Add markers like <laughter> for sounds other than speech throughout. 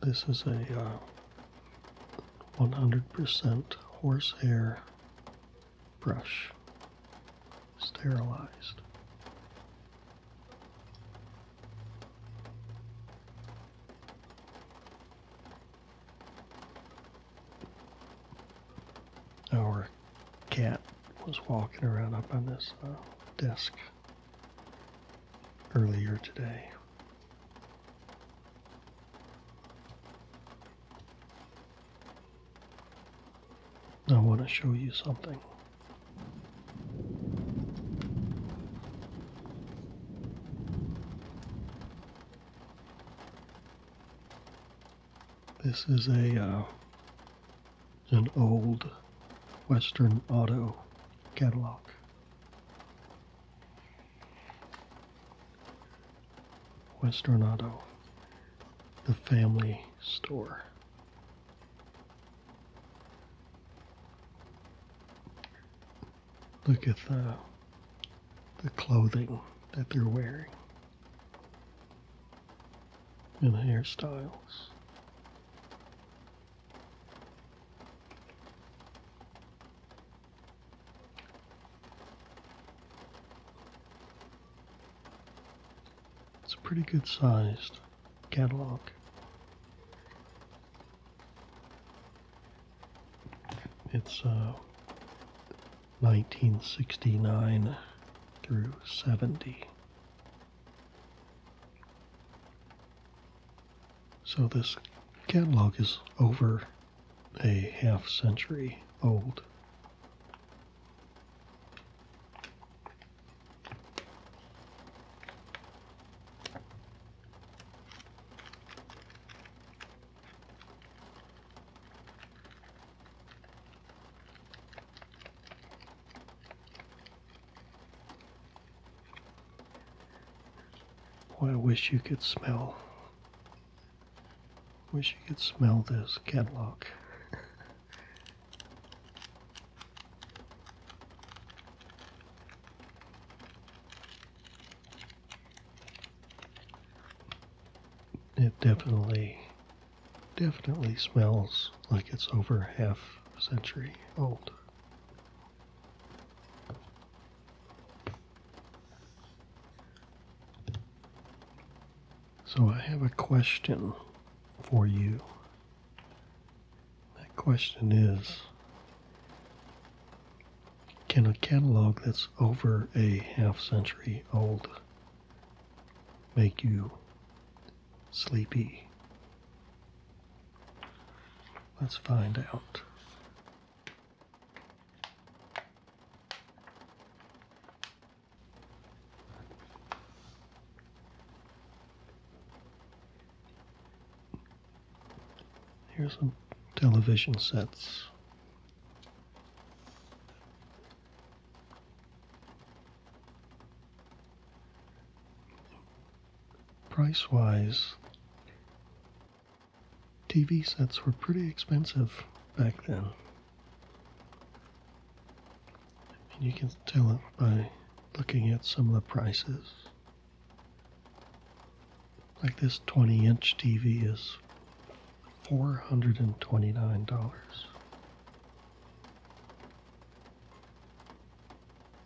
This is a 100% uh, horsehair brush, sterilized. Our cat was walking around up on this uh, desk earlier today. I want to show you something. This is a uh, an old Western Auto catalog. Westernado. the family store. Look at the, the clothing that they're wearing and the hairstyles. It's a pretty good sized catalog. It's 1969 uh, through 70. So this catalog is over a half century old. Boy, I wish you could smell. Wish you could smell this catalog. it definitely, definitely smells like it's over half a century old. So I have a question for you. That question is Can a catalog that's over a half century old make you sleepy? Let's find out. Here's some television sets. Price wise, TV sets were pretty expensive back then. And you can tell it by looking at some of the prices. Like this 20 inch TV is $429.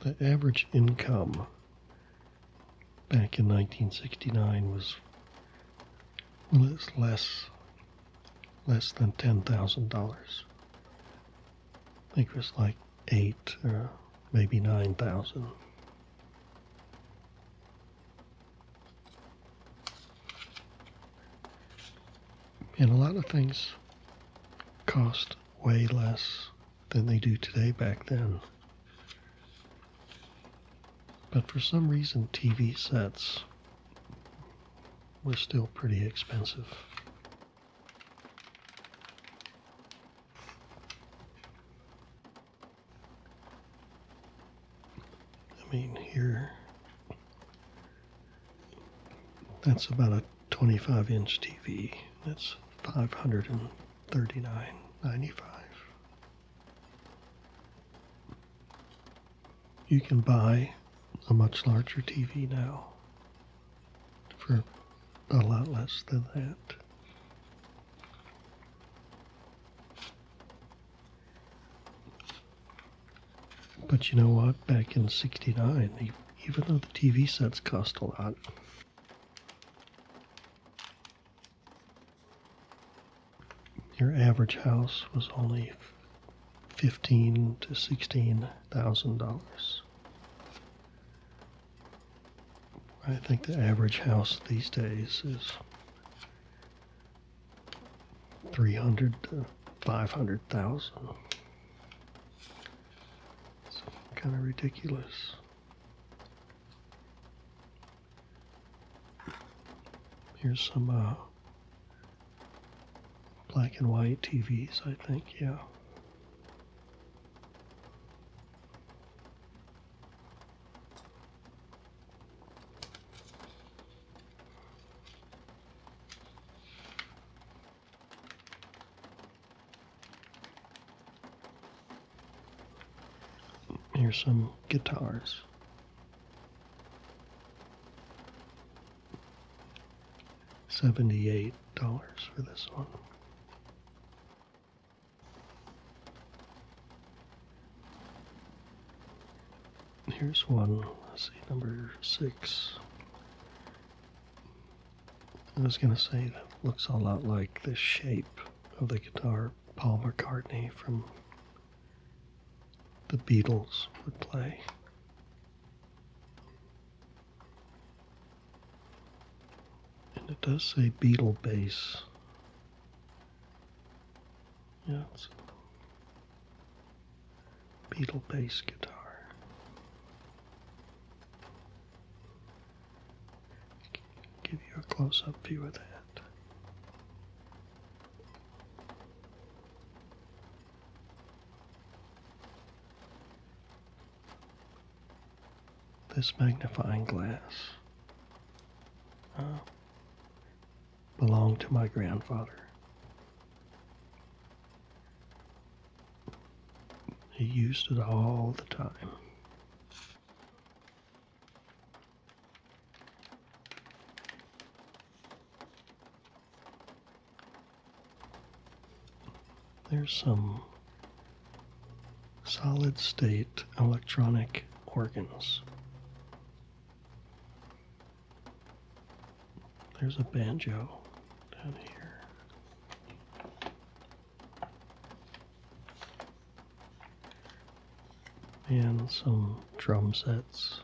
the average income back in 1969 was less less, less than ten thousand dollars. I think it was like eight or maybe nine thousand. And a lot of things cost way less than they do today back then. But for some reason, TV sets were still pretty expensive. I mean, here, that's about a 25 inch TV. That's 539.95. You can buy a much larger TV now for a lot less than that. But you know what? Back in 69, even though the TV sets cost a lot, your average house was only fifteen to sixteen thousand dollars. I think the average house these days is three hundred to five hundred thousand. It's kind of ridiculous. Here's some uh, black and white TVs, I think, yeah. Here's some guitars. $78 for this one. Here's one, see, number six. I was going to say that looks a lot like the shape of the guitar Paul McCartney from the Beatles would play. And it does say Beatle bass. Yeah, it's Beatle bass guitar. Give you a close up view of that. This magnifying glass uh, belonged to my grandfather. He used it all the time. There's some solid state electronic organs. There's a banjo down here and some drum sets,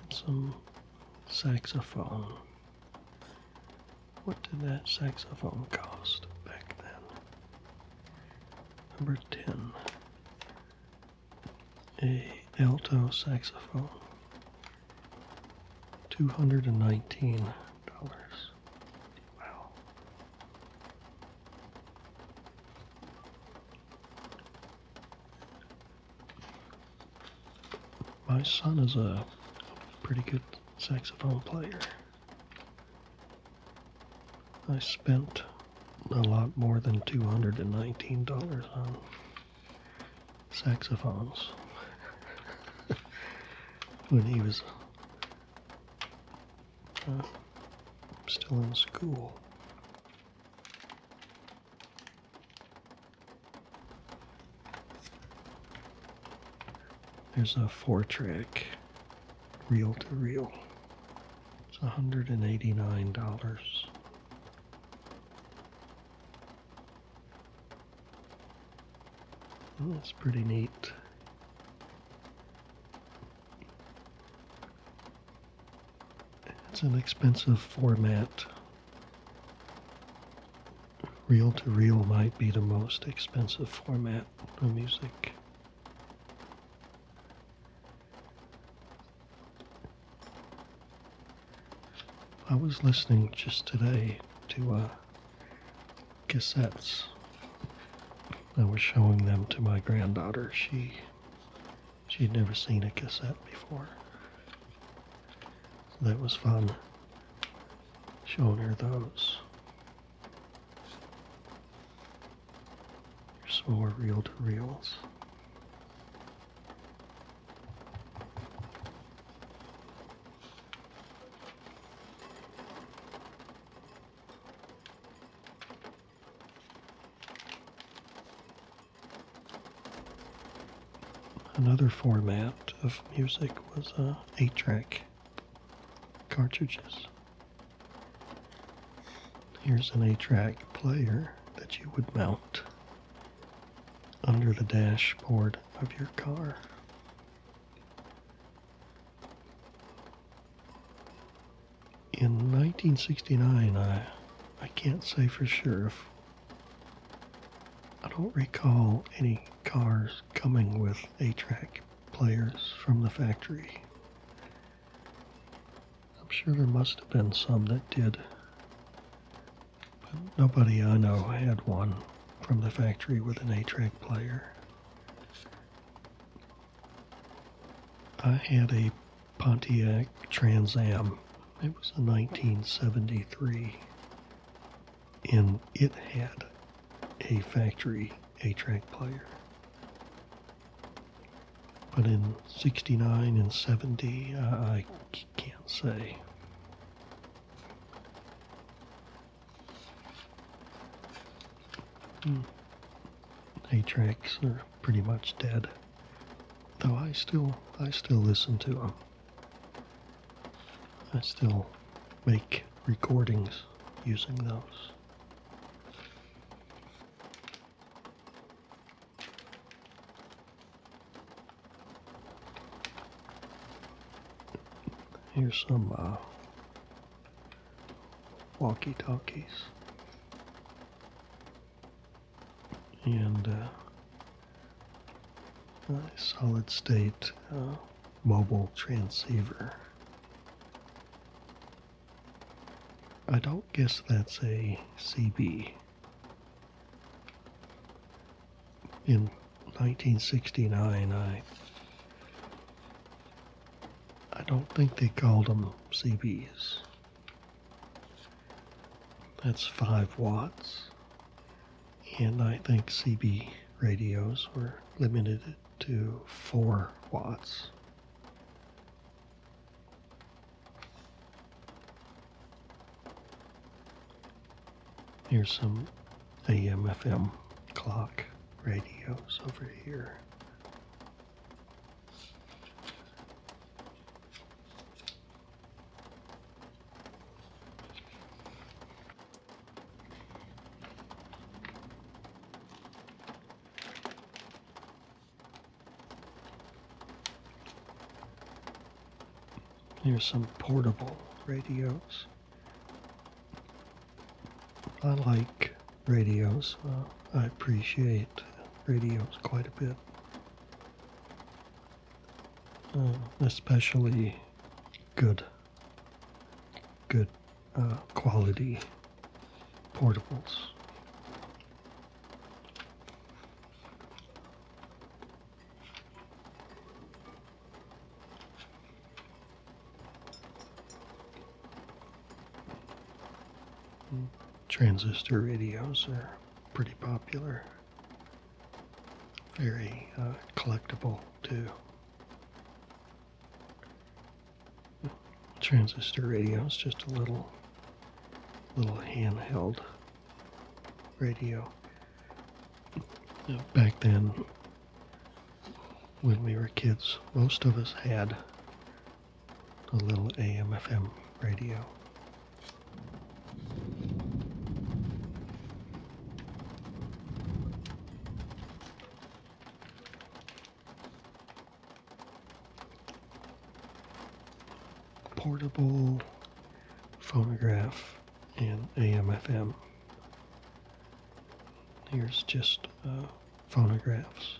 and some saxophone. What did that saxophone cost back then? Number 10, a alto saxophone two hundred and nineteen dollars. My son is a pretty good saxophone player. I spent a lot more than $219 on saxophones <laughs> when he was uh, still in school. There's a four track reel to reel. It's $189 that's pretty neat. It's an expensive format. Reel to reel might be the most expensive format of music. I was listening just today to a uh, cassettes. I was showing them to my granddaughter. She she'd never seen a cassette before. that was fun showing her those. There's some more reel to reels. Another format of music was a uh, 8 track cartridges. Here's an 8 track player that you would mount under the dashboard of your car. In 1969, I, I can't say for sure if I don't recall any cars coming with A-track players from the factory. I'm sure there must have been some that did. But nobody I know had one from the factory with an 8 track player. I had a Pontiac Trans Am. It was a 1973, and it had a factory 8 track player. But in 69 and 70, I can't say. Hmm. A-tracks are pretty much dead, though I still I still listen to them. I still make recordings using those. Here's some uh, walkie talkies. And uh, a solid state uh, mobile transceiver. I don't guess that's a CB in 1969, I I don't think they called them CBs. That's five watts, and I think CB radios were limited to four watts. Here's some AM FM clock radios over here. Here's some portable radios. I like radios. I appreciate radios quite a bit. Uh, especially good, good uh, quality portables. Transistor radios are pretty popular, very uh, collectible too. Transistor radios, just a little, little handheld radio. Back then, when we were kids, most of us had a little AM/FM radio. Portable phonograph and AM/FM. Here's just uh, phonographs.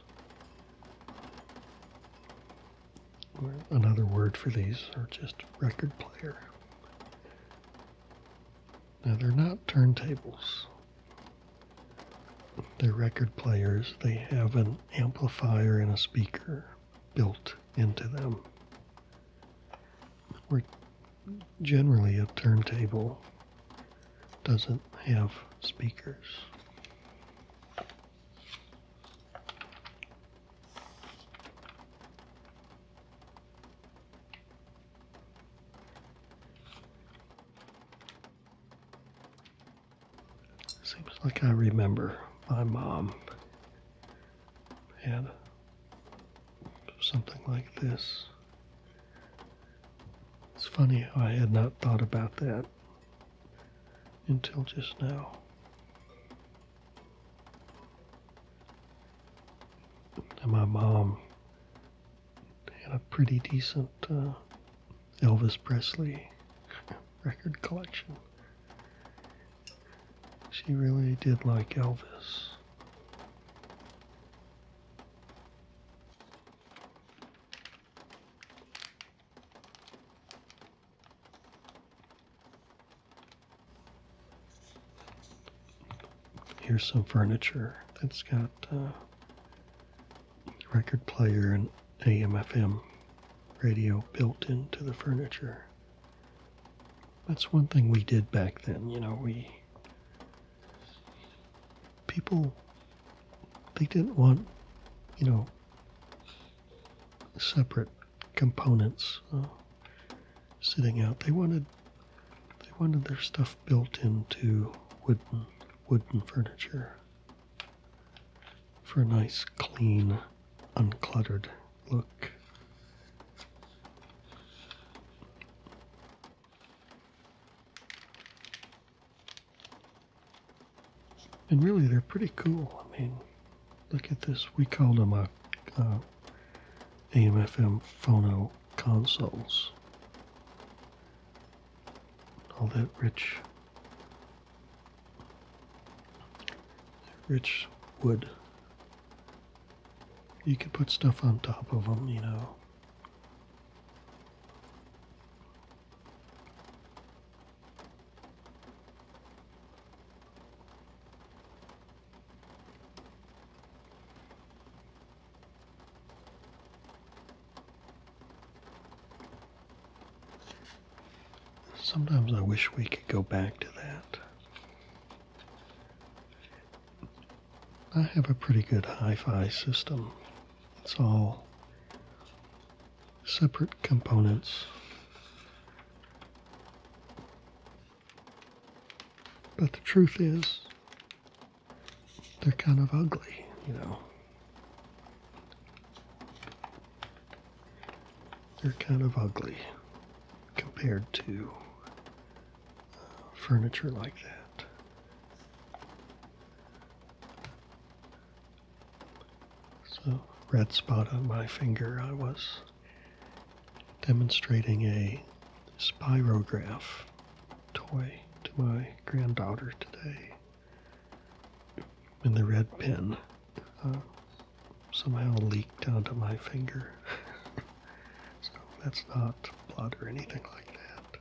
another word for these are just record player. Now they're not turntables. They're record players. They have an amplifier and a speaker built into them. Where generally a turntable doesn't have speakers. Seems like I remember my mom had something like this. It's funny how I had not thought about that until just now. my mom had a pretty decent uh, Elvis Presley <laughs> record collection. She really did like Elvis. Here's some furniture that's got uh, record player and AM/FM radio built into the furniture. That's one thing we did back then. You know, we people they didn't want you know separate components uh, sitting out they wanted they wanted their stuff built into wooden wooden furniture for a nice clean uncluttered look and really, they're pretty cool. I mean, look at this. We call them uh, uh, a AM/FM phono consoles. All that rich, rich wood you could put stuff on top of them, you know. Sometimes I wish we could go back to that. I have a pretty good hi fi system. It's all separate components. But the truth is, they're kind of ugly, you know. They're kind of ugly compared to furniture like that. So, red spot on my finger, I was demonstrating a spirograph toy to my granddaughter today. And the red pen uh, somehow leaked onto my finger. <laughs> So that's not blood or anything like that.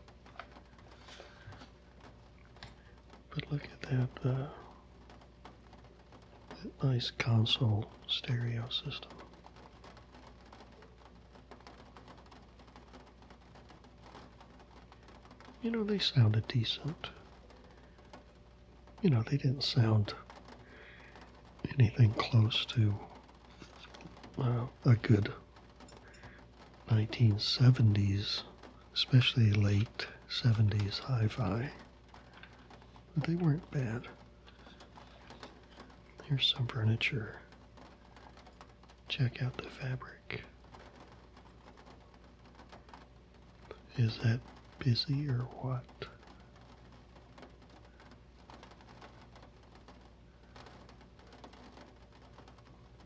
But look at uh, that, nice console stereo system. You know, they sounded decent. You know, they didn't sound anything close to well, a good 1970s, especially late 70s hi fi. But they weren't bad. Here's some furniture. Check out the fabric. Is that busy or what?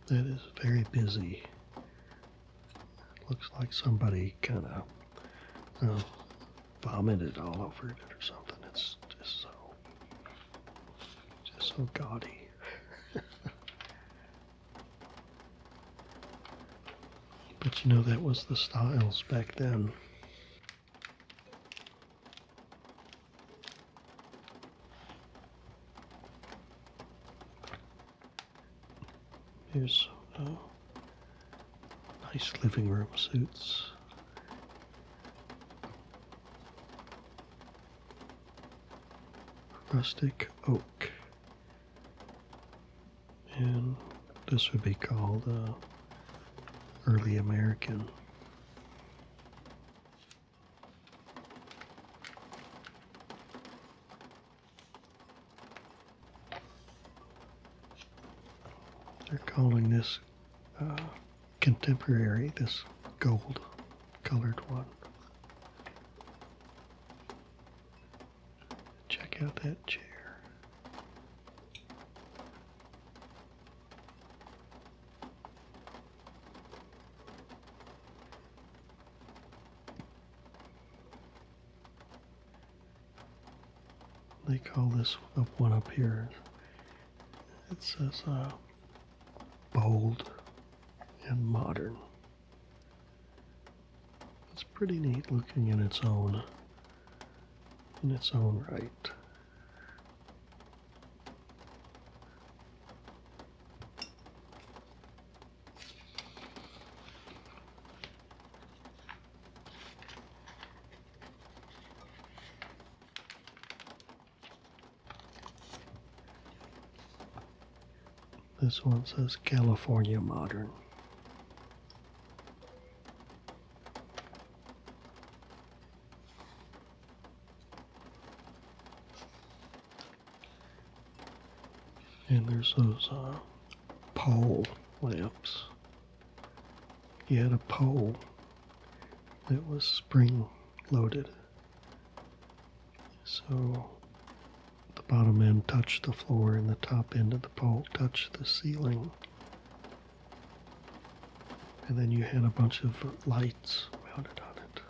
That is very busy. Looks like somebody kind of you vomited all over it or something. It's just so, just so gaudy. <laughs> but you know, that was the styles back then. Here's uh, nice living room suits. Rustic oak. And this would be called uh, early American. They're calling this uh, contemporary, this gold colored one. Check out that chair. They call this up one up here. It says uh, bold and modern. It's pretty neat looking in its own in its own right. This one says California Modern. And there's those uh, pole lamps. He had a pole that was spring loaded. So the bottom end touched the floor and the top end of the pole touched the ceiling and then you had a bunch of lights mounted on it.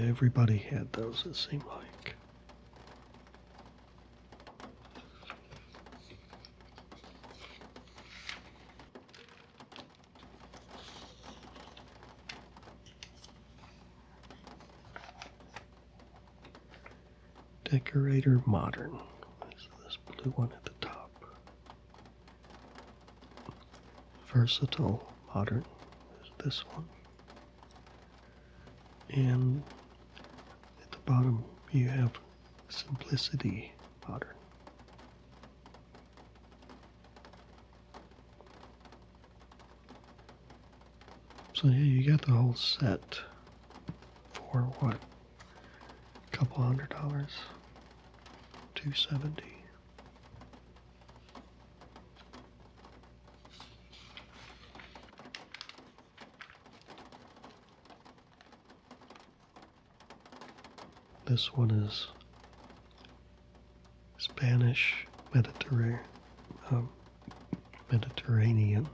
Yeah, everybody had those, it seemed like. Decorator Modern. Is this blue one at the top? Versatile Modern is this one. And at the bottom you have Simplicity Modern. So yeah, you get the whole set for what? A couple hundred dollars? 270. This one is Spanish um, Mediterranean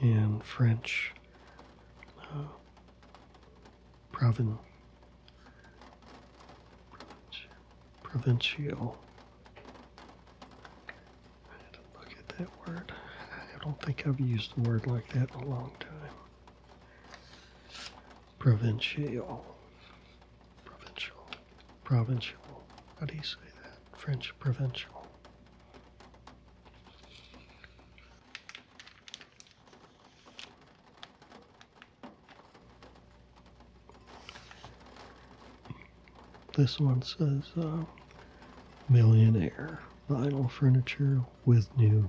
in French uh, provincial. I had to look at that word. I don't think I've used the word like that in a long time. Provincial, provincial provincial. How do you say that? French provincial. This one says uh, millionaire vinyl furniture with new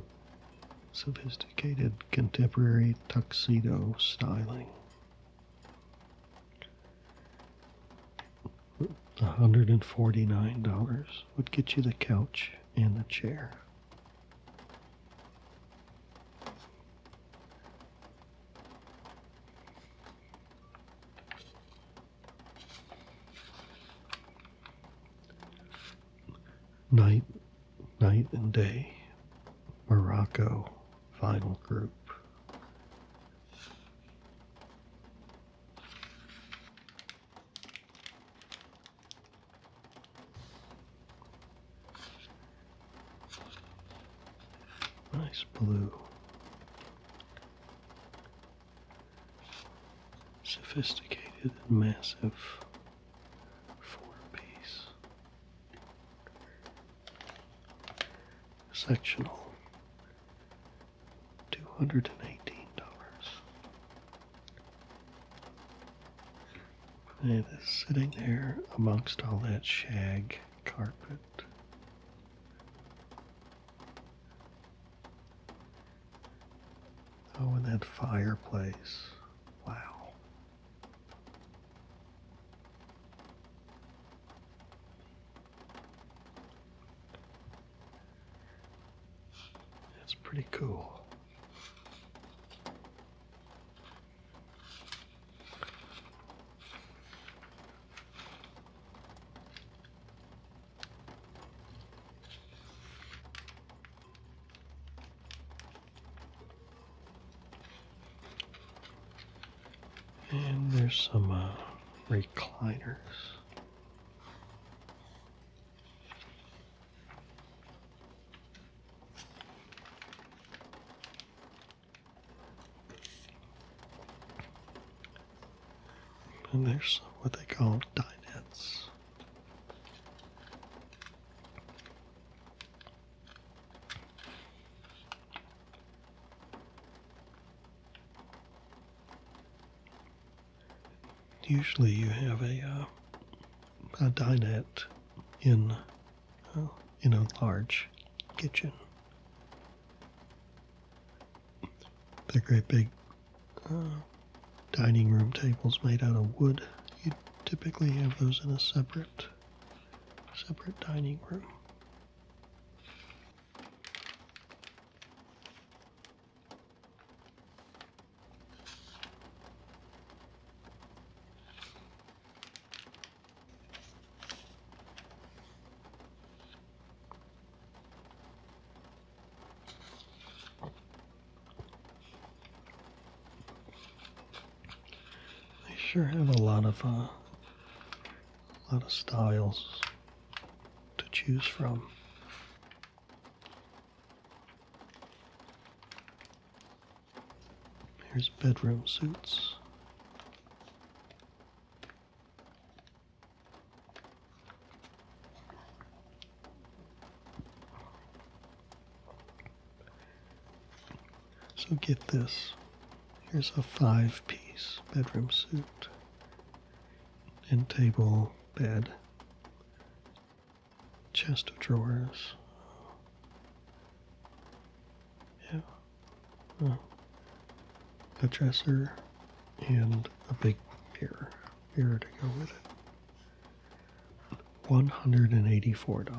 sophisticated contemporary tuxedo styling. $149 would get you the couch and the chair. Night, night and day, Morocco, final group. Nice blue. Sophisticated and massive four piece. Sectional two hundred and eighteen dollars. It is sitting there amongst all that shag carpet. Oh, and that fireplace. Wow. That's pretty cool. And there's some uh, recliners. And there's what they call dinettes. Usually you have a, uh, a dinette in, uh, in a large kitchen. They're great big uh, dining room tables made out of wood. You typically have those in a separate separate dining room. They sure have a lot of a uh, lot of styles to choose from. Here's bedroom suits. So get this. Here's a five piece bedroom suit and table, bed, chest of drawers. Yeah. Oh. A dresser and a big mirror. Mirror to go with it. $184.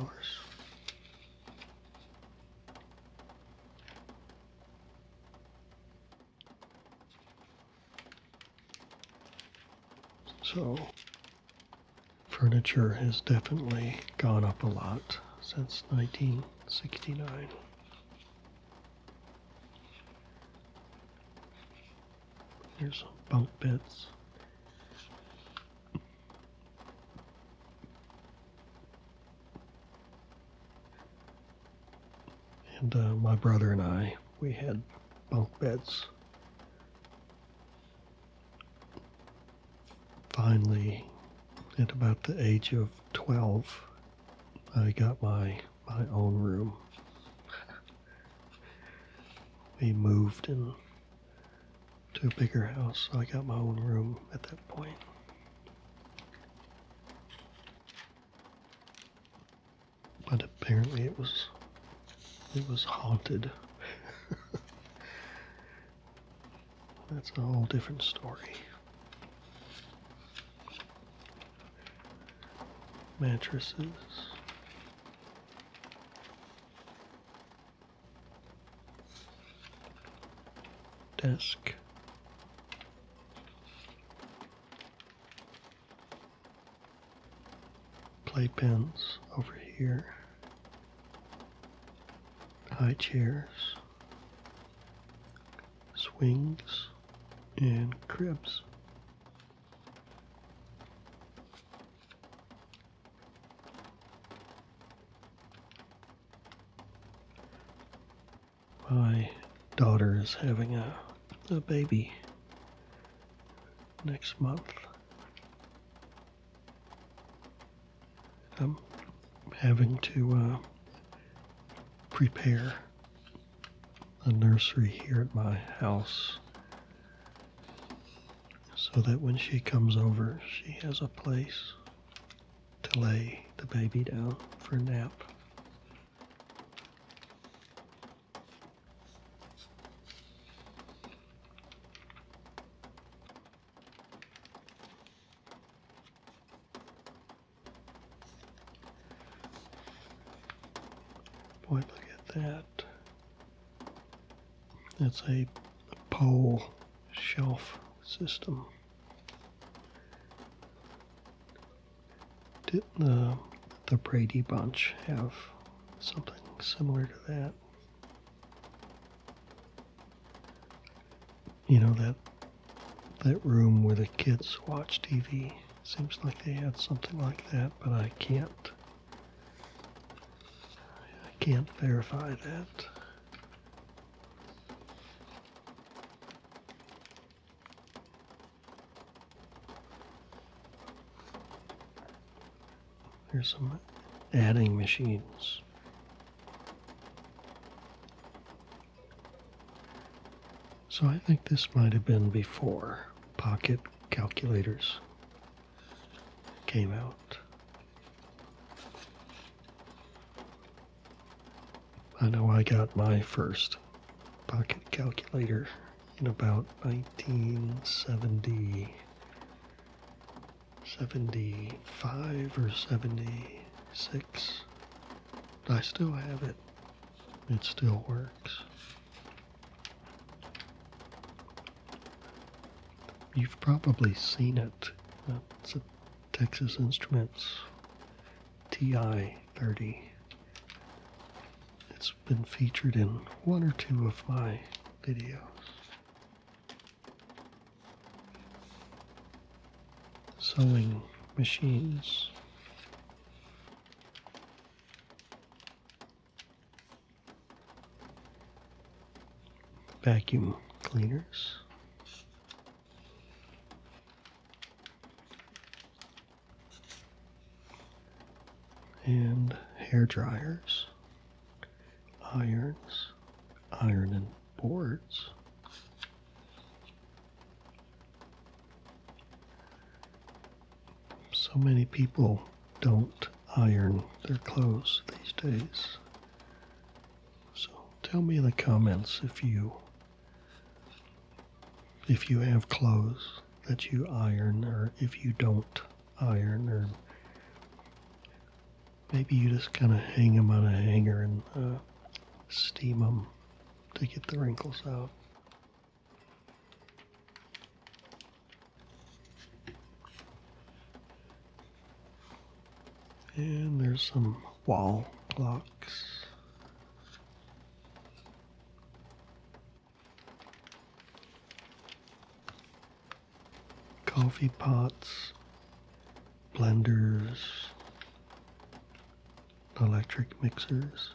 So, furniture has definitely gone up a lot since 1969. Here's some bunk beds and uh, my brother and I, we had bunk beds. Finally, at about the age of 12, I got my, my own room. we moved into a bigger house, so I got my own room at that point. But apparently it was it was haunted. <laughs> That's a whole different story. Mattresses. Desk playpens over here, high chairs, swings, and cribs my daughter is having a, a baby next month. I'm having to uh, prepare a nursery here at my house so that when she comes over, she has a place to lay the baby down for a nap. Boy, look at that. That's a pole shelf system. Did the the Brady Bunch have something similar to that? You know that that room where the kids watch TV. Seems like they had something like that, but I can't I can't verify that. There's some adding machines. So I think this might have been before pocket calculators came out. I know I got my first pocket calculator in about 1970, 75 or 76. I still have it. It still works. You've probably seen it. It's a Texas Instruments TI-30. It's been featured in one or two of my videos. Sewing machines. Vacuum cleaners and hair dryers, irons, ironing boards. So many people don't iron their clothes these days. So tell me in the comments if you if you have clothes that you iron or if you don't iron or maybe you just kind of hang them on a hanger and uh, steam them to get the wrinkles out. And there's some wall blocks coffee pots, blenders, electric mixers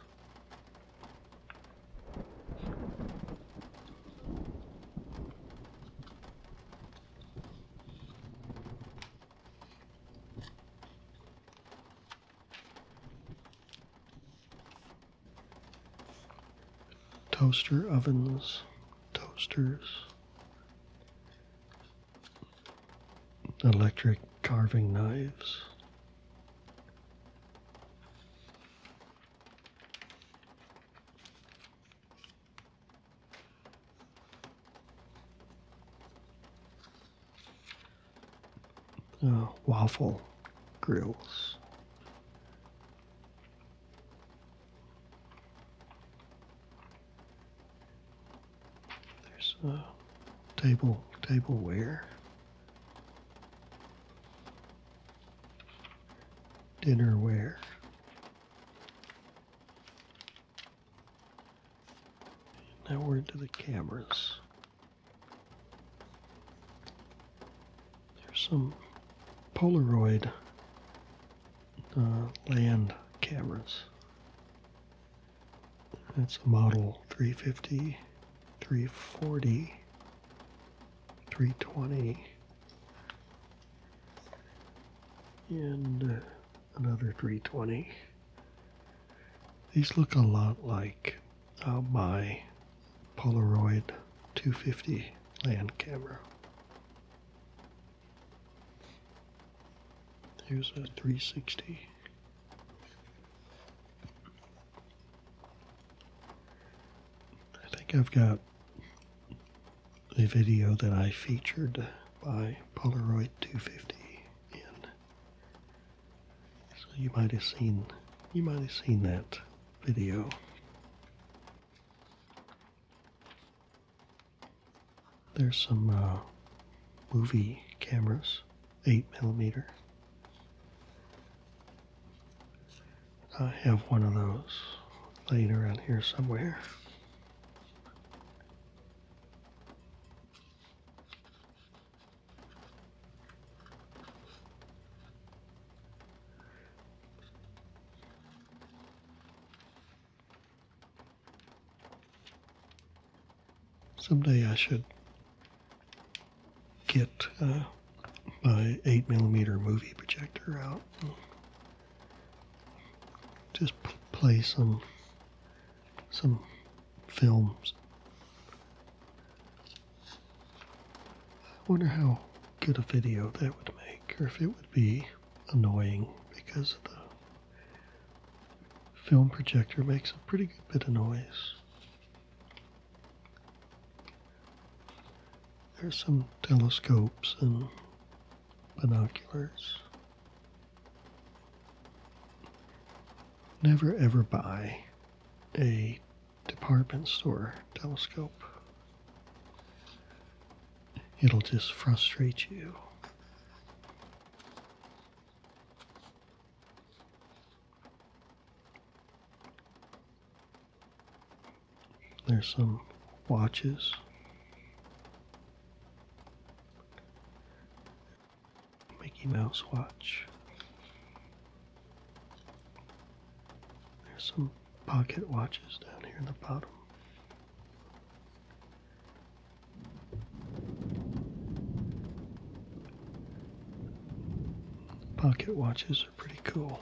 toaster ovens, toasters, electric carving knives waffle grills. There's uh, table tableware. Dinnerware. Now we're into the cameras. There's some Polaroid uh, land cameras. That's a model 350, 340, 320, and uh, another 320. These look a lot like uh, my Polaroid 250 land camera. Here's a 360. I think I've got a video that I featured by Polaroid 250 in so you might have seen you might have seen that video. There's some uh, movie cameras, eight millimeter. I have one of those laying around here somewhere. Someday I should get uh, my 8 millimeter movie projector out just play some some films. I wonder how good a video that would make, or if it would be annoying because the film projector makes a pretty good bit of noise. There's some telescopes and binoculars. Never ever buy a department store telescope. It'll just frustrate you. There's some watches. Mickey Mouse watch. There's some pocket watches down here in the bottom. Pocket watches are pretty cool.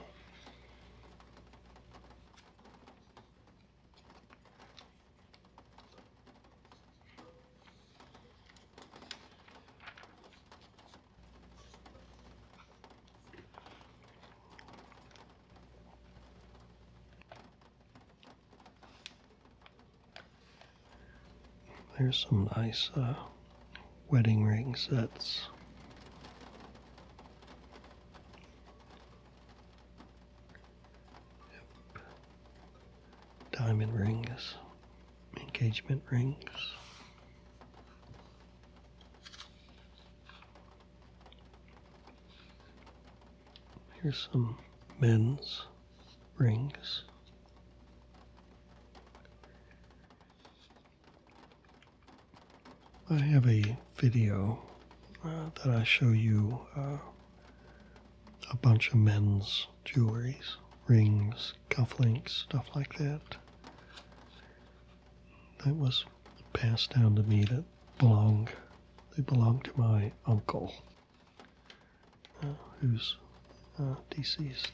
There's some nice uh, wedding ring sets. Diamond rings engagement rings. Here's some men's rings. I have a video uh, that I show you uh, a bunch of men's jewelries, rings, cufflinks, stuff like that. That was passed down to me that belonged, they belonged to my uncle, uh, who's uh, deceased.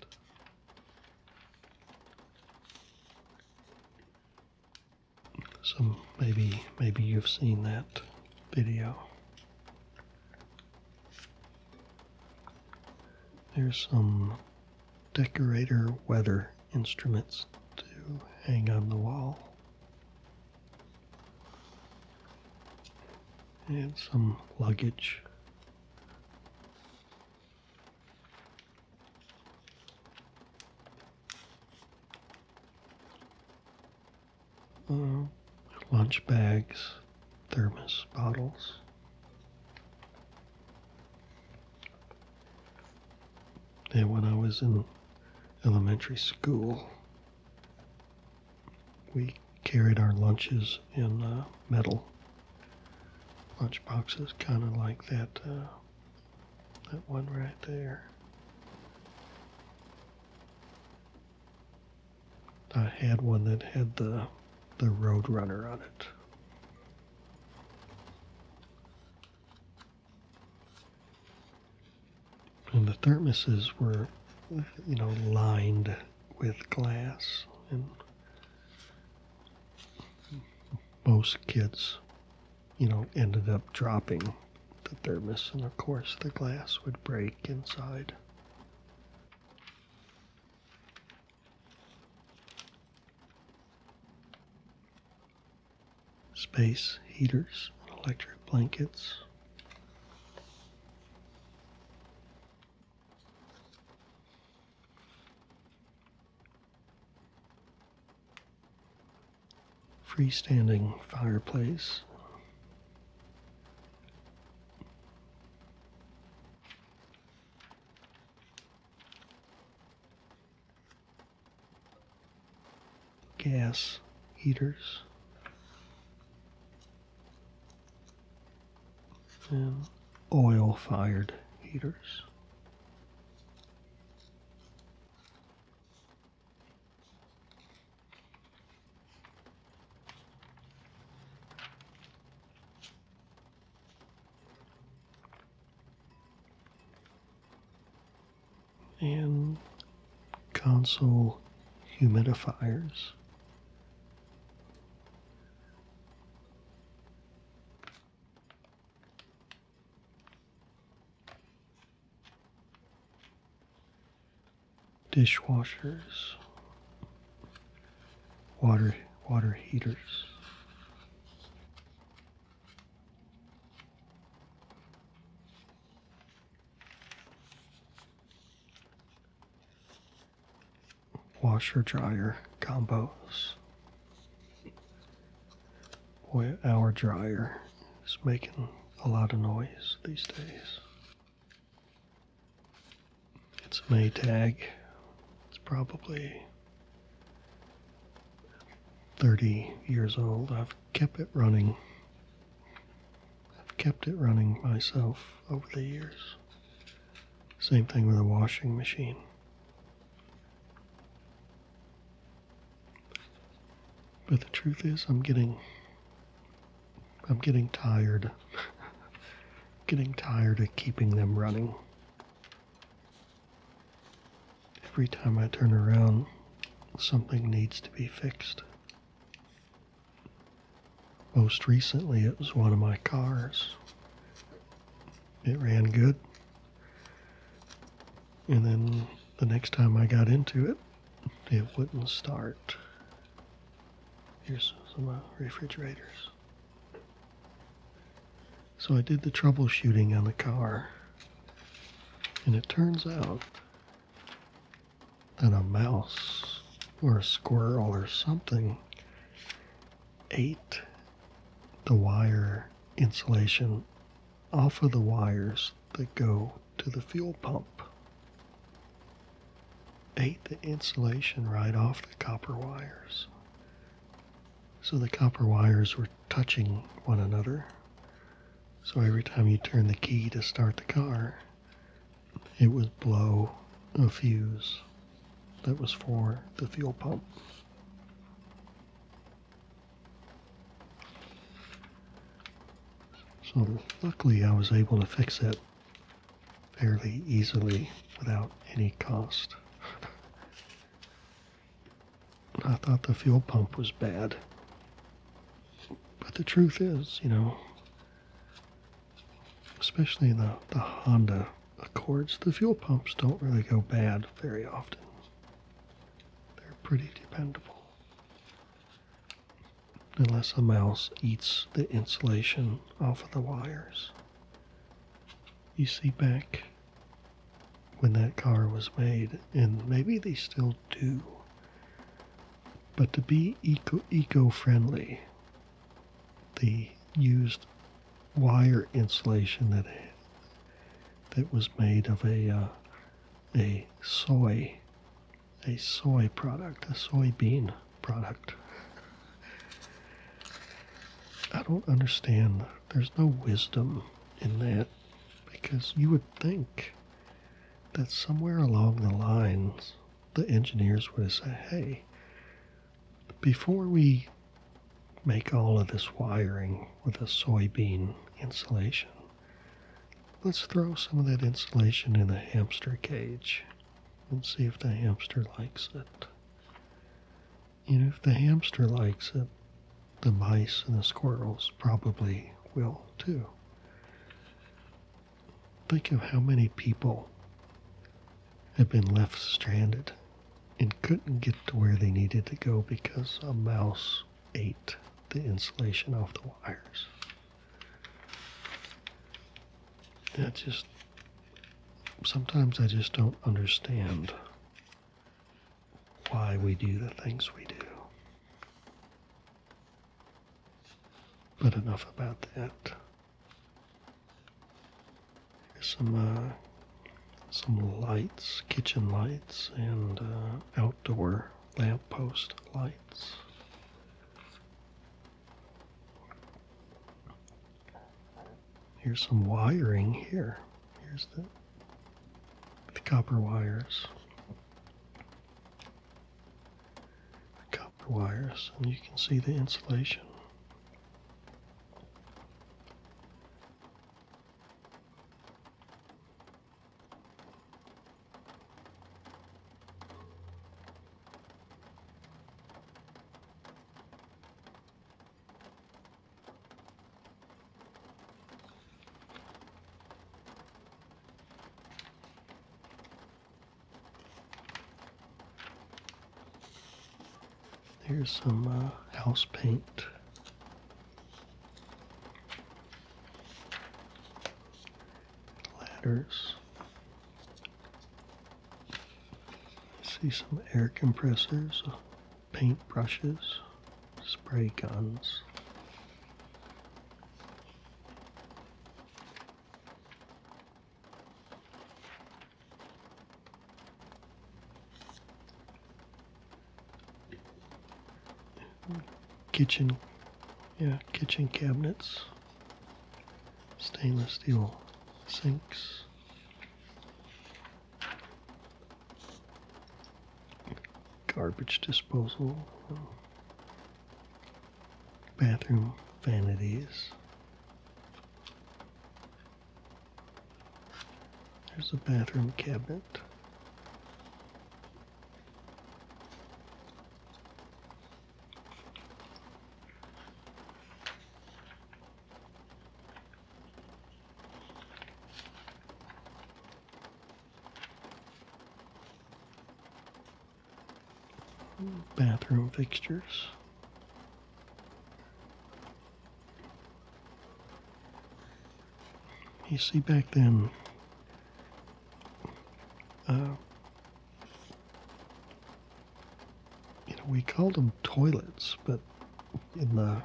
So maybe maybe you've seen that video. There's some decorator weather instruments to hang on the wall. And some luggage. Uh, lunch bags, thermos bottles. And when I was in elementary school, we carried our lunches in uh, metal lunchboxes, kind of like that uh, that one right there. I had one that had the the Roadrunner on it. And the thermoses were, you know, lined with glass, and most kids, you know, ended up dropping the thermos, and of course the glass would break inside space heaters, electric blankets. Freestanding fireplace gas heaters. And oil fired heaters and console humidifiers. Dishwashers, water water heaters. Washer dryer combos. Boy, our dryer is making a lot of noise these days. It's an A-tag. It's probably 30 years old. I've kept it running. I've kept it running myself over the years. Same thing with a washing machine. But the truth is I'm getting I'm getting tired <laughs> getting tired of keeping them running. Every time I turn around, something needs to be fixed. Most recently, it was one of my cars. It ran good. And then the next time I got into it, it wouldn't start. Here's some uh, refrigerators. So I did the troubleshooting on the car, and it turns out that a mouse or a squirrel or something ate the wire insulation off of the wires that go to the fuel pump ate the insulation right off the copper wires. So the copper wires were touching one another. So every time you turn the key to start the car, it would blow a fuse that was for the fuel pump. So luckily I was able to fix it fairly easily without any cost. I thought the fuel pump was bad. But the truth is, you know, especially the, the Honda Accords, the fuel pumps don't really go bad very often. They're pretty dependable. Unless a mouse eats the insulation off of the wires you see back when that car was made, and maybe they still do. But to be eco friendly, they used wire insulation that that was made of a uh, a soy a soy product, a soy bean product. I don't understand. There's no wisdom in that because you would think that somewhere along the lines the engineers would have said, hey, before we make all of this wiring with a soybean insulation, let's throw some of that insulation in the hamster cage and see if the hamster likes it. You know, if the hamster likes it, the mice and the squirrels probably will too. Think of how many people have been left stranded and couldn't get to where they needed to go because a mouse ate the insulation off the wires. That just sometimes I just don't understand why we do the things we do. But enough about that. Here's some uh, some lights, kitchen lights, and uh, outdoor lamppost lights. Here's some wiring here. Here's the, the copper wires. copper wires, and you can see the insulation. There's some uh, house paint. Ladders. See some air compressors, paint brushes, spray guns. kitchen yeah kitchen cabinets stainless steel sinks Garbage disposal, bathroom vanities. There's a bathroom cabinet. Bathroom fixtures. You see back then, uh, you know, we call them toilets, but in the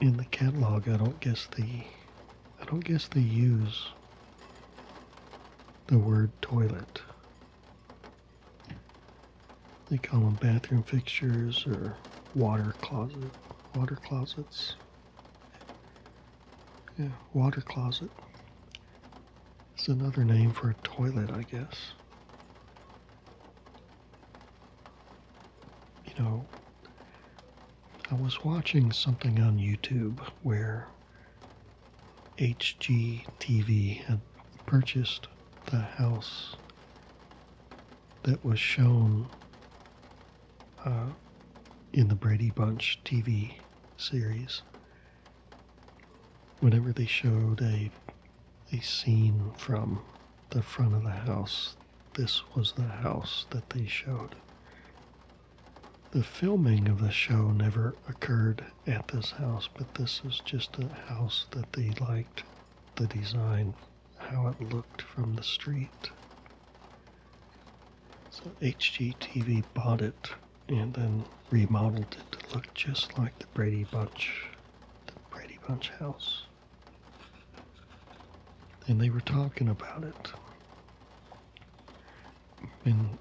in the catalog, I don't guess the I don't guess they use the word toilet. They call them bathroom fixtures or water closet, water closets. Yeah, water closet. It's another name for a toilet, I guess. You know, I was watching something on YouTube where HGTV had purchased the house that was shown uh, in the Brady Bunch TV series. Whenever they showed a a scene from the front of the house. This was the house that they showed. The filming of the show never occurred at this house, but this is just a house that they liked the design, how it looked from the street. So HGTV bought it and then remodeled it to look just like the Brady Bunch the Brady Bunch house. And they were talking about it. And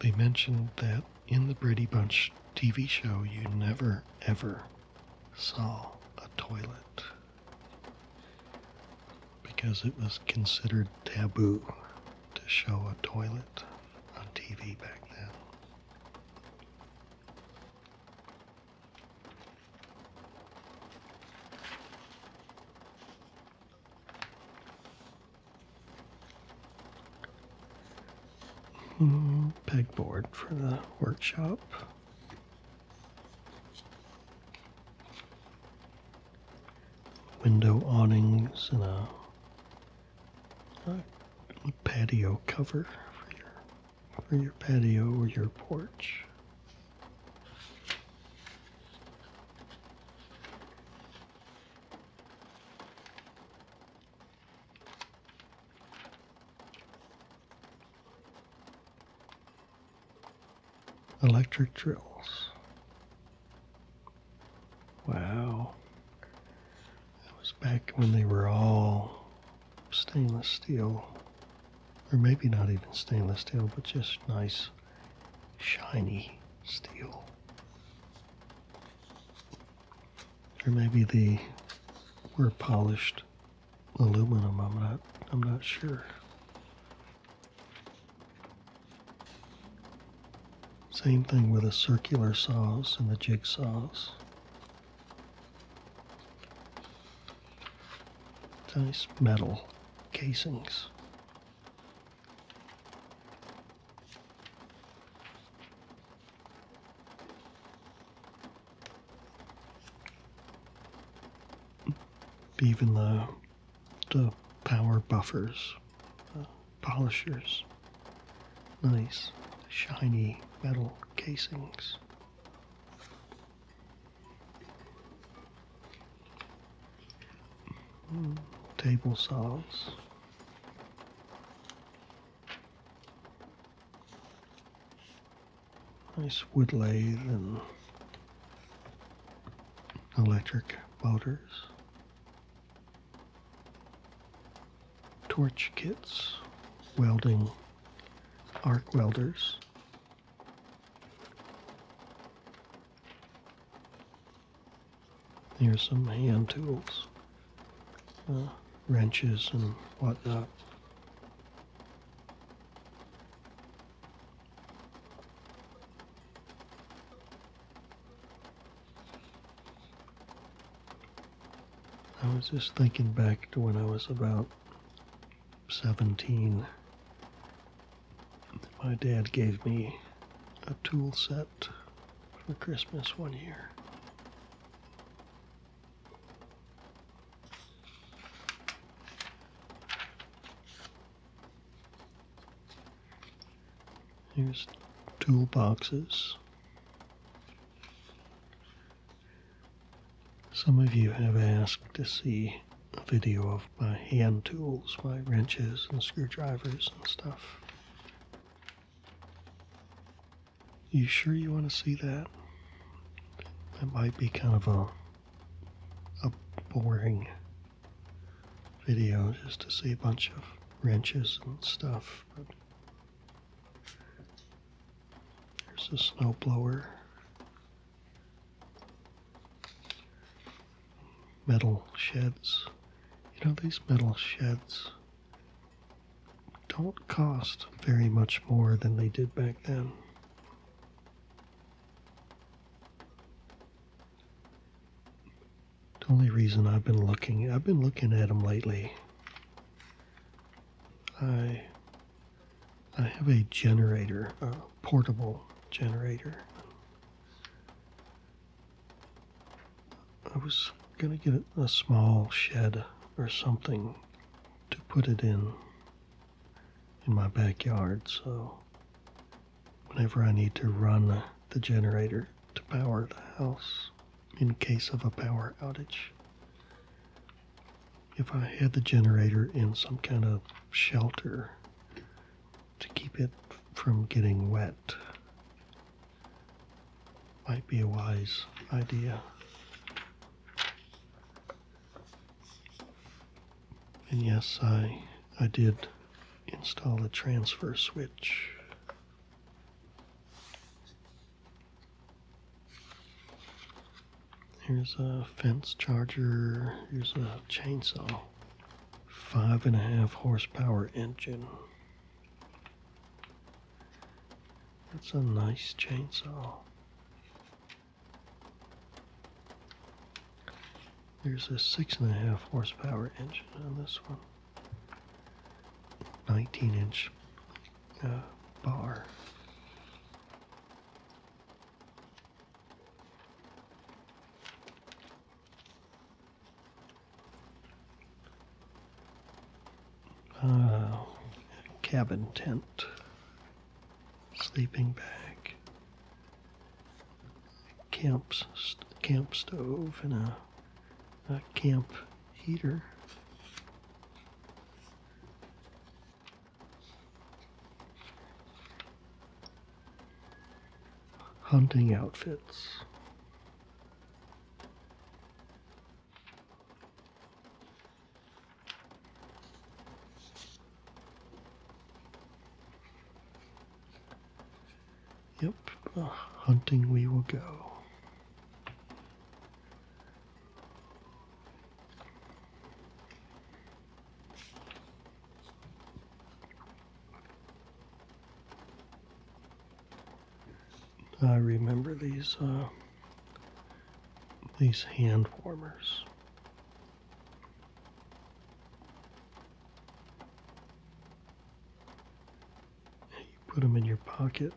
they mentioned that in the Brady Bunch TV show, you never ever saw a toilet because it was considered taboo to show a toilet on TV back then. Hmm, pegboard for the workshop. Window awnings and a a patio cover for your for your patio or your porch. Electric drills. Wow. It was back when they were all stainless steel, or maybe not even stainless steel, but just nice, shiny steel. Or maybe they were polished aluminum. I'm not. I'm not sure. Same thing with the circular saws and the jigsaws. Nice metal casings. Even the the power buffers, polishers nice shiny metal casings. Hmm, table saws. Nice wood lathe and electric motors torch kits, welding arc welders. Here's some hand tools, uh, wrenches and whatnot. I was just thinking back to when I was about 17. My dad gave me a tool set for Christmas one year. Here's toolboxes. Some of you have asked to see a video of my hand tools, my wrenches and screwdrivers and stuff. You sure you want to see that? That might be kind of a, a boring video just to see a bunch of wrenches and stuff. There's a snow blower. Metal sheds. You know, these metal sheds don't cost very much more than they did back then. The only reason I've been looking, I've been looking at them lately I I have a generator, a portable generator. I was gonna get a small shed or something to put it in in my backyard so whenever I need to run the generator to power the house in case of a power outage. If I had the generator in some kind of shelter to keep it from getting wet, might be a wise idea. And yes, I, I did install a transfer switch. Here's a fence charger. Here's a chainsaw. Five and a half horsepower engine. That's a nice chainsaw. There's a six and a half horsepower engine on this one. 19 inch a bar. Uh, cabin tent, sleeping bag, camp, camp stove, and a, a camp heater hunting outfits. Yep, uh, hunting we will go. I remember these uh, these hand warmers. You put them in your pocket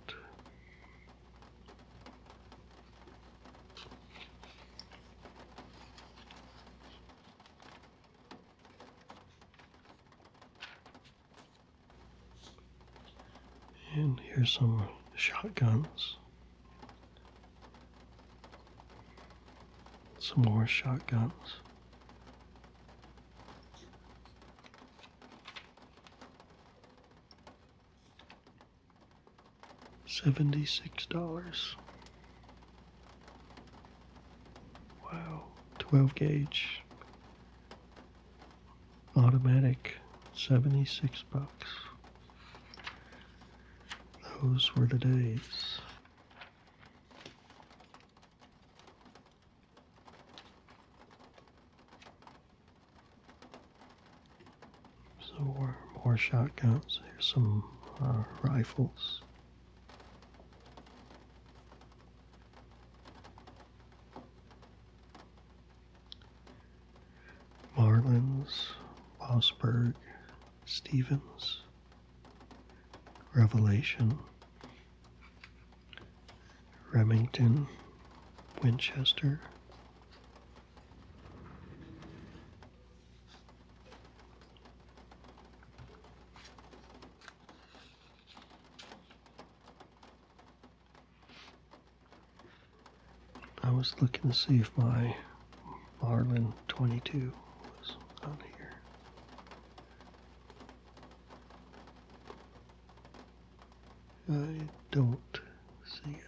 and here's some shotguns. Some more shotguns. $76. Wow, 12 gauge automatic 76 bucks. Those were the days. So more, shotguns. Here's some uh, rifles. Marlins, Osberg, Stevens, Revelation, Remington, Winchester, I was looking to see if my Marlin 22 was on here. I don't see it.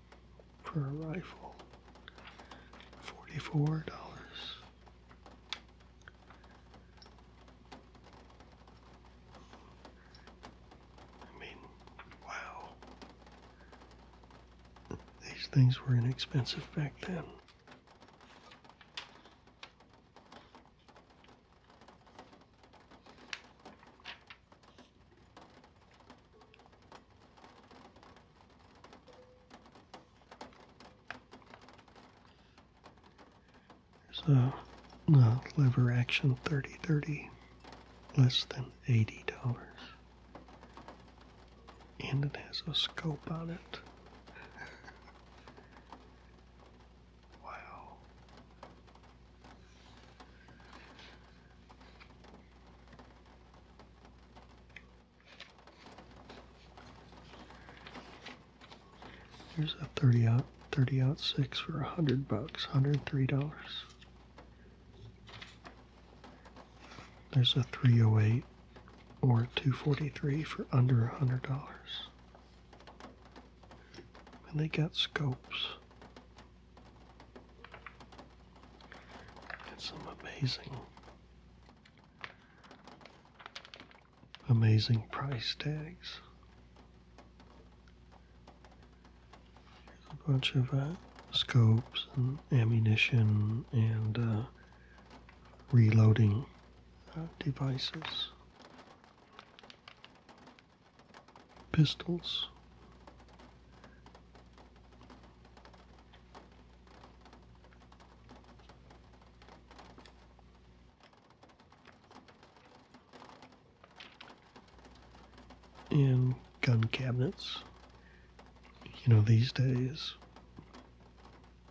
for a rifle. $44. I mean, wow. These things were inexpensive back then. So, uh, lever action 3030, less than $80. And it has a scope on it. <laughs> wow. There's a 30 out 30 out six for a hundred bucks, hundred and three dollars. There's a 308 or 243 for under a hundred dollars. And they got scopes some amazing, amazing price tags. a bunch of uh, scopes and ammunition and uh, reloading uh, devices. Pistols, in gun cabinets. You know, these days,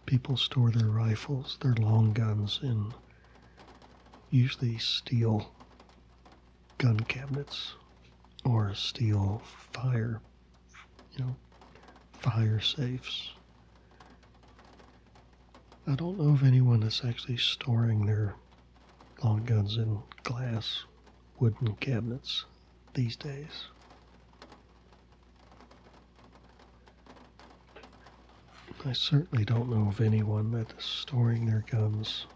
people store their rifles, their long guns, in usually steel gun cabinets or steel fire you know, fire safes. I don't know of anyone that's actually storing their long guns in glass wooden cabinets these days. I certainly don't know of anyone that is storing their guns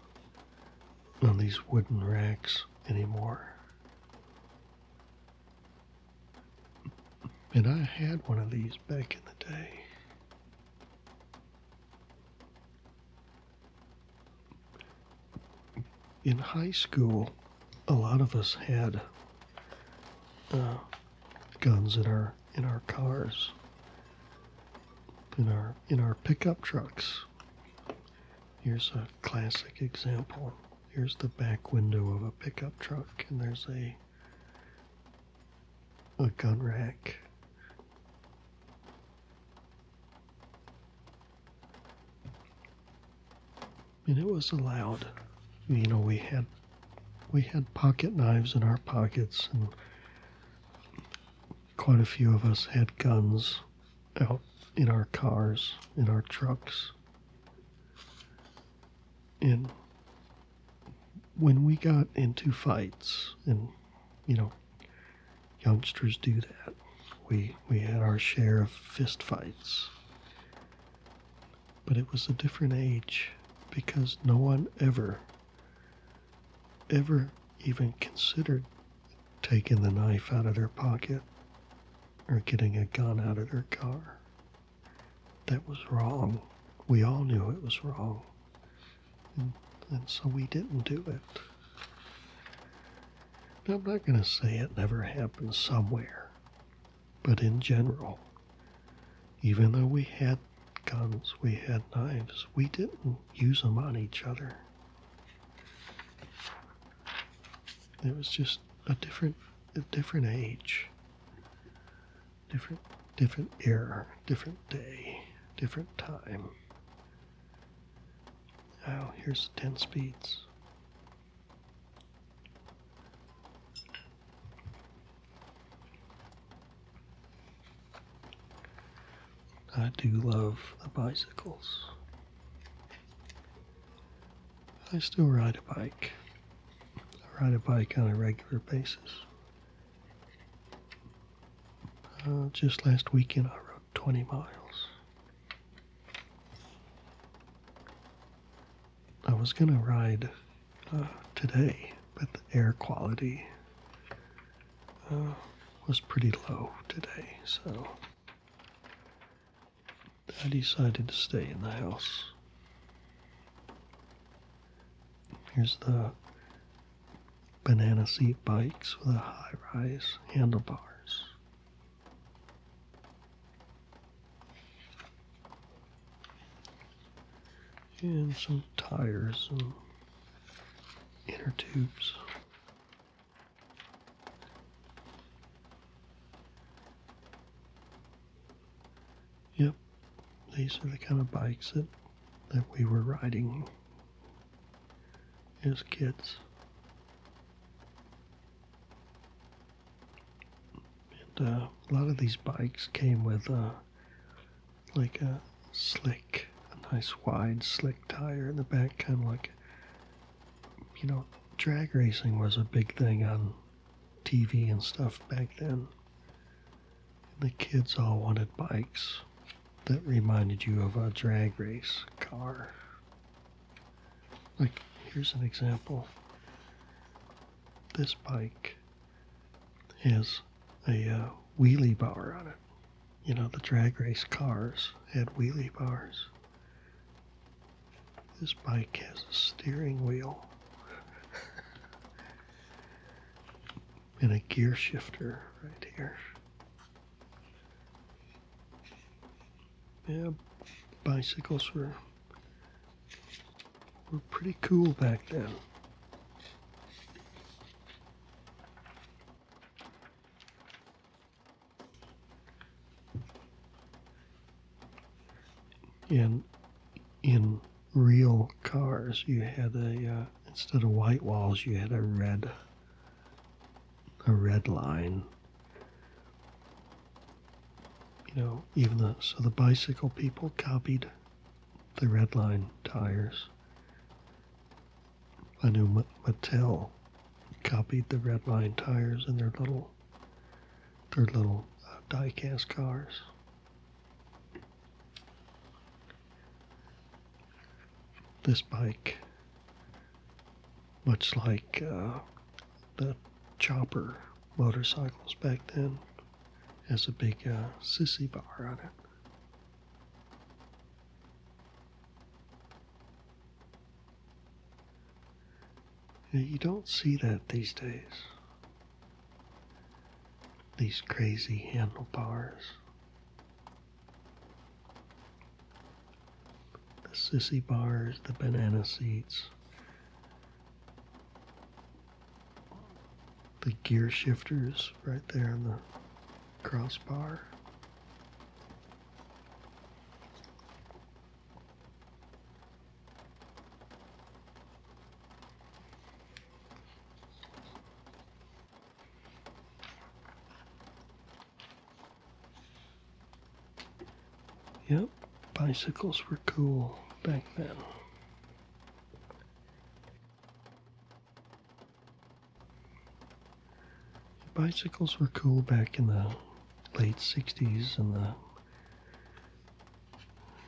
on these wooden racks anymore. And I had one of these back in the day. In high school, a lot of us had uh, guns in our in our cars, in our in our pickup trucks. Here's a classic example. Here's the back window of a pickup truck, and there's a a gun rack. And it was allowed. You know, we had we had pocket knives in our pockets, and quite a few of us had guns out in our cars, in our trucks. And when we got into fights, and you know, youngsters do that, we we had our share of fist fights. But it was a different age because no one ever ever even considered taking the knife out of their pocket or getting a gun out of their car. That was wrong. We all knew it was wrong. And, so we didn't do it. I'm not going to say it never happened somewhere, but in general, even though we had guns, we had knives, we didn't use them on each other. It was just a different, a different age, different, different era, different day, different time. Oh, here's the ten speeds. I do love the bicycles. I still ride a bike. I ride a bike on a regular basis. Uh, just last weekend, I rode 20 miles. I was going to ride uh, today, but the air quality uh, was pretty low today, so I decided to stay in the house. Here's the banana seat bikes with the high rise handlebars. And some tires inner tubes. Yep, these are the kind of bikes that, that we were riding as kids. And uh, a lot of these bikes came with uh, like a slick, a nice wide slick tire in the back, kind of like you know, drag racing was a big thing on TV and stuff back then. the kids all wanted bikes that reminded you of a drag race car. Like, here's an example. This bike has a uh, wheelie bar on it. You know, the drag race cars had wheelie bars. This bike has a steering wheel and a gear shifter right here. Yeah, bicycles were were pretty cool back then in in real cars you had a uh, instead of white walls you had a red a red line you know even the so the bicycle people copied the red line tires i knew mattel copied the red line tires in their little they're little uh, die-cast cars. This bike, much like uh, the chopper motorcycles back then, has a big uh, sissy bar on it. You don't see that these days. These crazy handlebars. The sissy bars, the banana seats. The gear shifters right there on the crossbar. Yep, bicycles were cool back then. Bicycles were cool back in the late 60s and the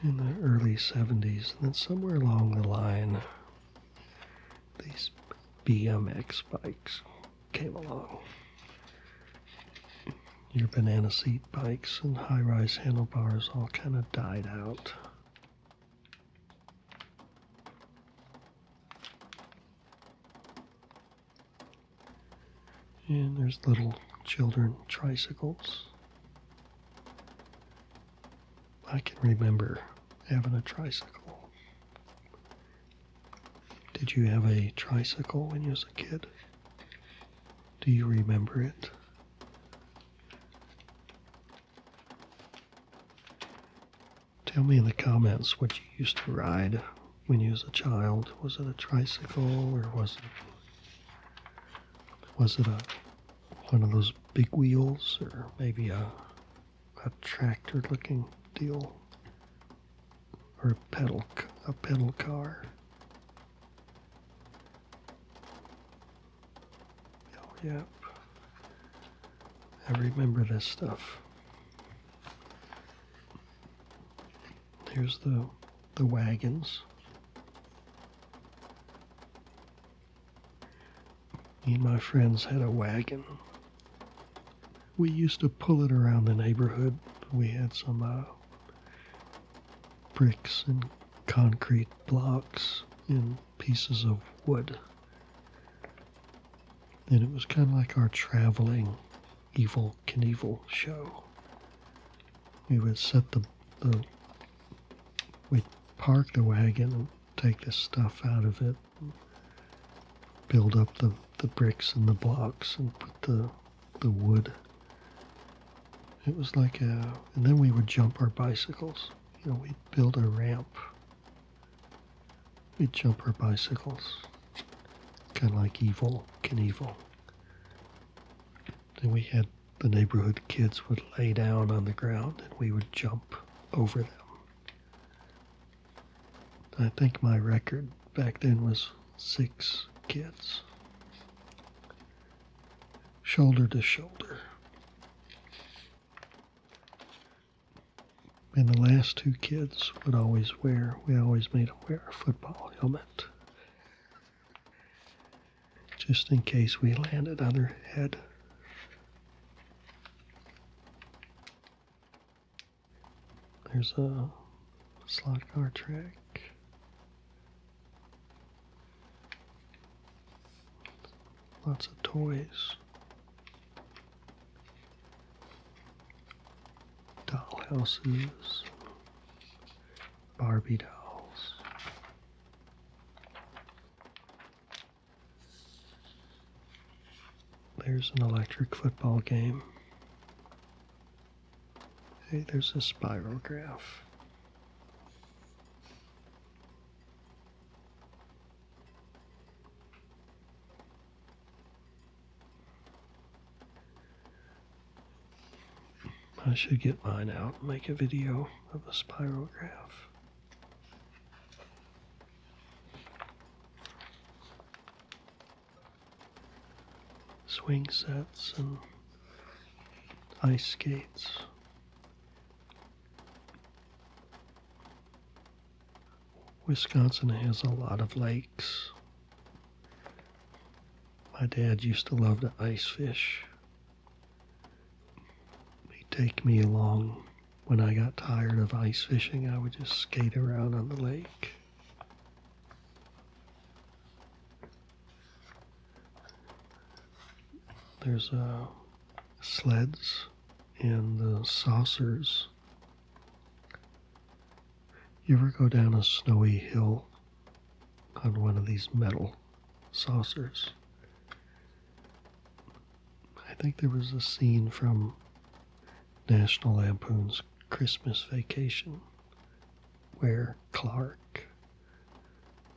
in the early 70s, and then somewhere along the line, these BMX bikes came along. Your banana seat bikes and high rise handlebars all kind of died out. And there's little children tricycles. I can remember having a tricycle. Did you have a tricycle when you was a kid? Do you remember it? Tell me in the comments what you used to ride when you was a child? Was it a tricycle or was it was it a one of those big wheels or maybe a a tractor looking deal or a pedal a pedal car? Oh yep. I remember this stuff. Here's the the wagons. Me and my friends had a wagon. We used to pull it around the neighborhood. We had some uh, bricks and concrete blocks and pieces of wood. And it was kind of like our traveling Evil Knievel show. We would set the, the we'd park the wagon and take the stuff out of it, build up the, the bricks and the blocks and put the the wood. It was like a, and then we would jump our bicycles. You know, we'd build a ramp. We'd jump our bicycles, kind of like Evil Knievel. And we had the neighborhood kids would lay down on the ground and we would jump over them. I think my record back then was six kids, shoulder to shoulder. And the last two kids would always wear, we always made them wear a football helmet just in case we landed on her head. There's a slot car track. Lots of toys dollhouses, Barbie dolls. There's an electric football game. Hey, there's a spiral graph. I should get mine out and make a video of a spirograph. Swing sets and ice skates. Wisconsin has a lot of lakes. My dad used to love to ice fish. He'd take me along. When I got tired of ice fishing, I would just skate around on the lake. There's uh, sleds and the saucers you ever go down a snowy hill on one of these metal saucers? I think there was a scene from National Lampoon's Christmas Vacation where Clark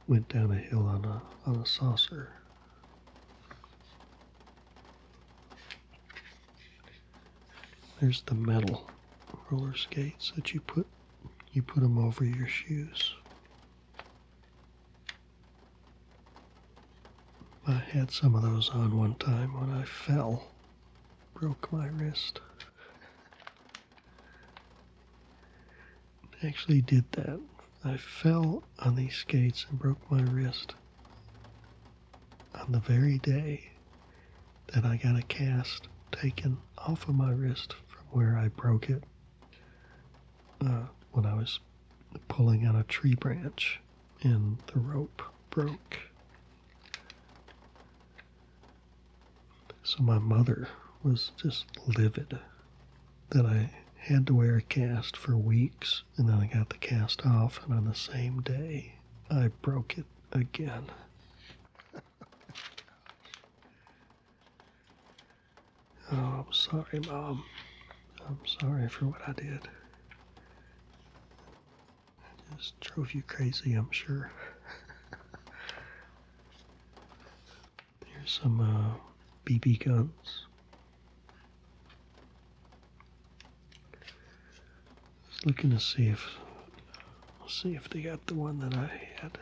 went down a hill on a on a saucer. There's the metal roller skates that you put you put them over your shoes. I had some of those on one time when I fell, broke my wrist. actually did that. I fell on these skates and broke my wrist on the very day that I got a cast taken off of my wrist from where I broke it uh, when I was pulling on a tree branch and the rope broke. So my mother was just livid that I had to wear a cast for weeks and then I got the cast off and on the same day I broke it again. <laughs> oh, I'm sorry, Mom. I'm sorry for what I did. I just drove you crazy, I'm sure. <laughs> Here's some BB uh, guns looking to see if see if they got the one that I had.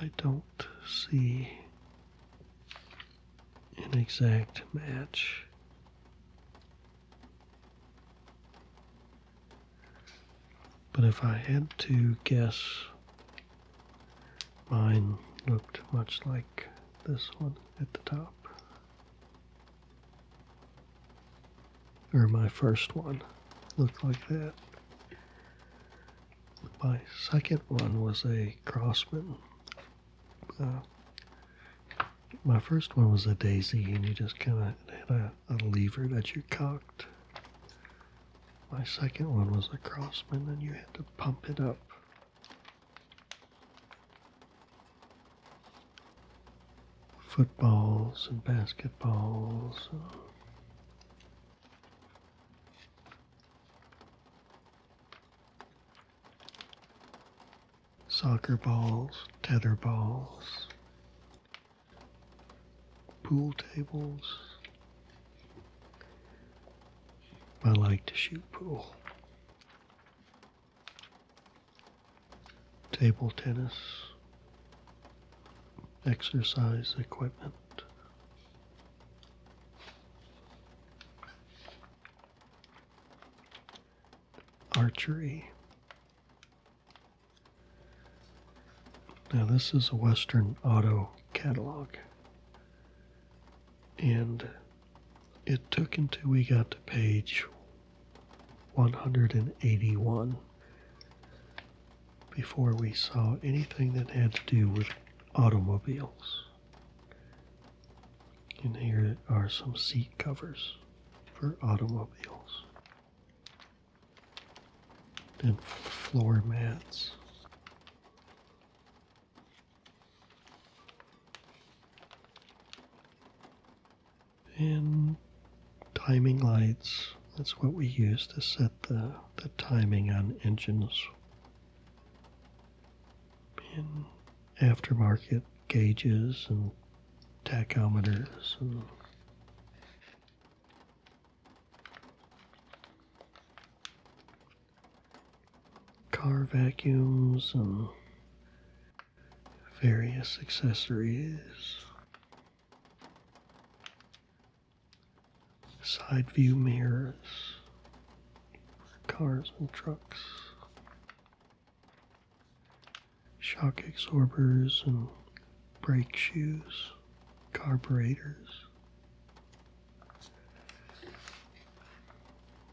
I don't see an exact match. But if I had to guess Mine looked much like this one at the top. Or my first one looked like that. My second one was a Crossman. Uh, my first one was a daisy, and you just kind of had a, a, lever that you cocked. My second one was a crossman, and you had to pump it up footballs and basketballs. Soccer balls, tether balls, pool tables, I like to shoot pool. Table tennis. Exercise equipment. Archery. Now, this is a Western Auto catalog. And it took until we got to page 181 before we saw anything that had to do with automobiles. And here are some seat covers for automobiles. And floor mats. In timing lights, that's what we use to set the, the timing on engines. In aftermarket gauges and tachometers and car vacuums and various accessories. Side view mirrors, cars and trucks, shock absorbers and brake shoes, carburetors,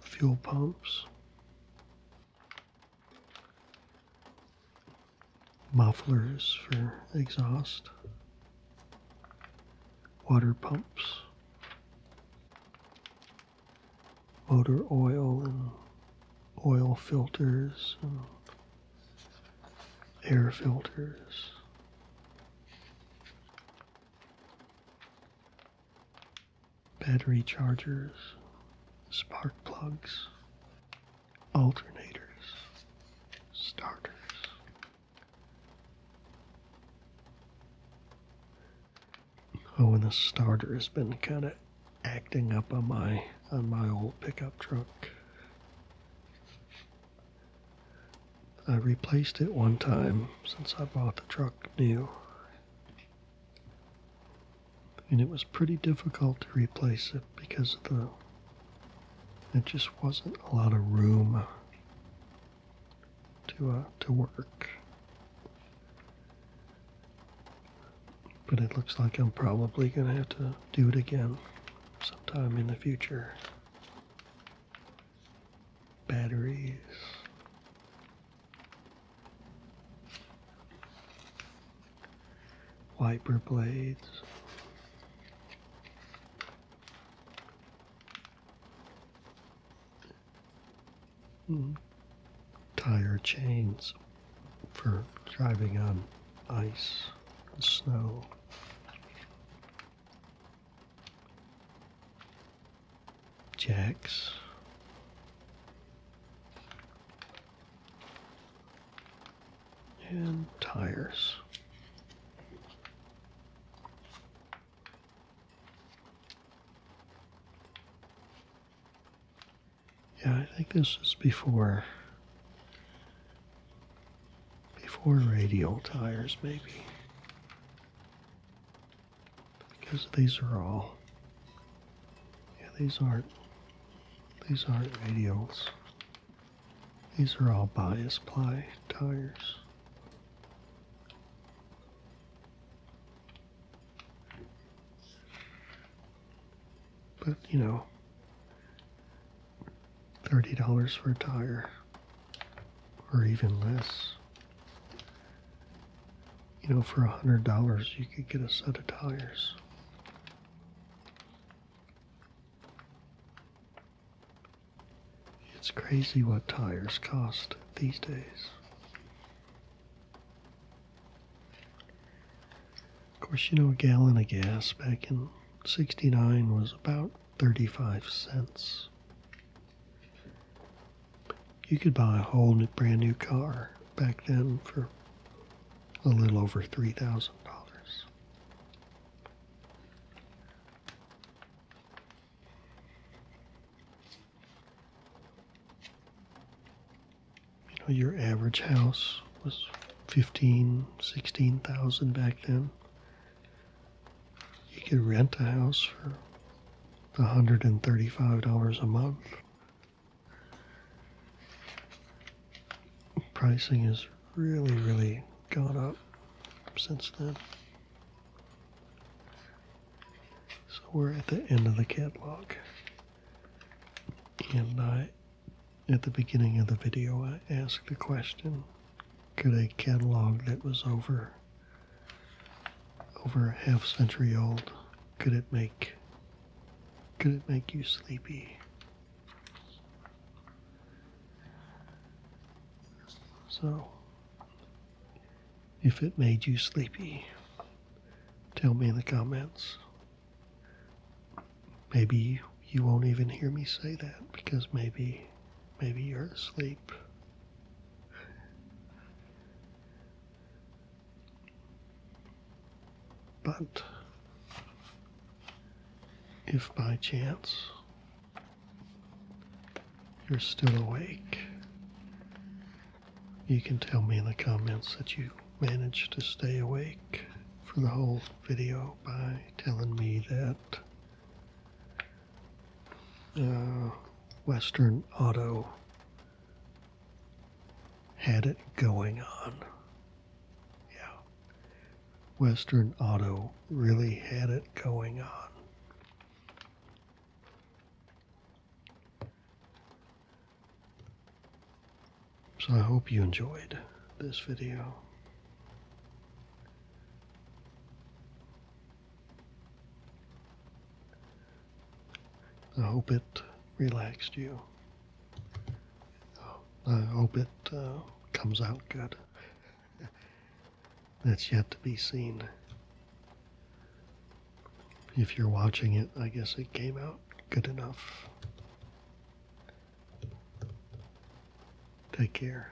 fuel pumps, mufflers for exhaust, water pumps, motor oil and oil filters air filters, battery chargers, spark plugs, alternators, starters. Oh, and the starter has been kind of acting up on my on my old pickup truck. I replaced it one time since I bought the truck new. And it was pretty difficult to replace it because of the. It just wasn't a lot of room to uh, to work. But it looks like I'm probably gonna have to do it again sometime in the future batteries. Wiper blades. Hmm. Tire chains for driving on ice and snow. Jacks. And tires. Yeah, I think this is before before radial tires maybe because these are all yeah these aren't these aren't radials these are all bias ply tires but you know $30 for a tire or even less. You know, for a hundred dollars, you could get a set of tires. It's crazy what tires cost these days. Of course, you know, a gallon of gas back in 69 was about 35 cents. You could buy a whole brand new car back then for a little over three thousand dollars. You know, your average house was fifteen, sixteen thousand back then. You could rent a house for $135 a month. Pricing has really, really gone up since then. So we're at the end of the catalog. And I, at the beginning of the video, I asked the question could a catalog that was over over a half century old, could it make could it make you sleepy? So if it made you sleepy, tell me in the comments. Maybe you won't even hear me say that because maybe maybe you're asleep. But if by chance you're still awake, you can tell me in the comments that you managed to stay awake for the whole video by telling me that uh, Western Auto had it going on. Yeah. Western Auto really had it going on. So I hope you enjoyed this video. I hope it relaxed you. I hope it uh, comes out good. <laughs> That's yet to be seen. If you're watching it, I guess it came out good enough. Take care.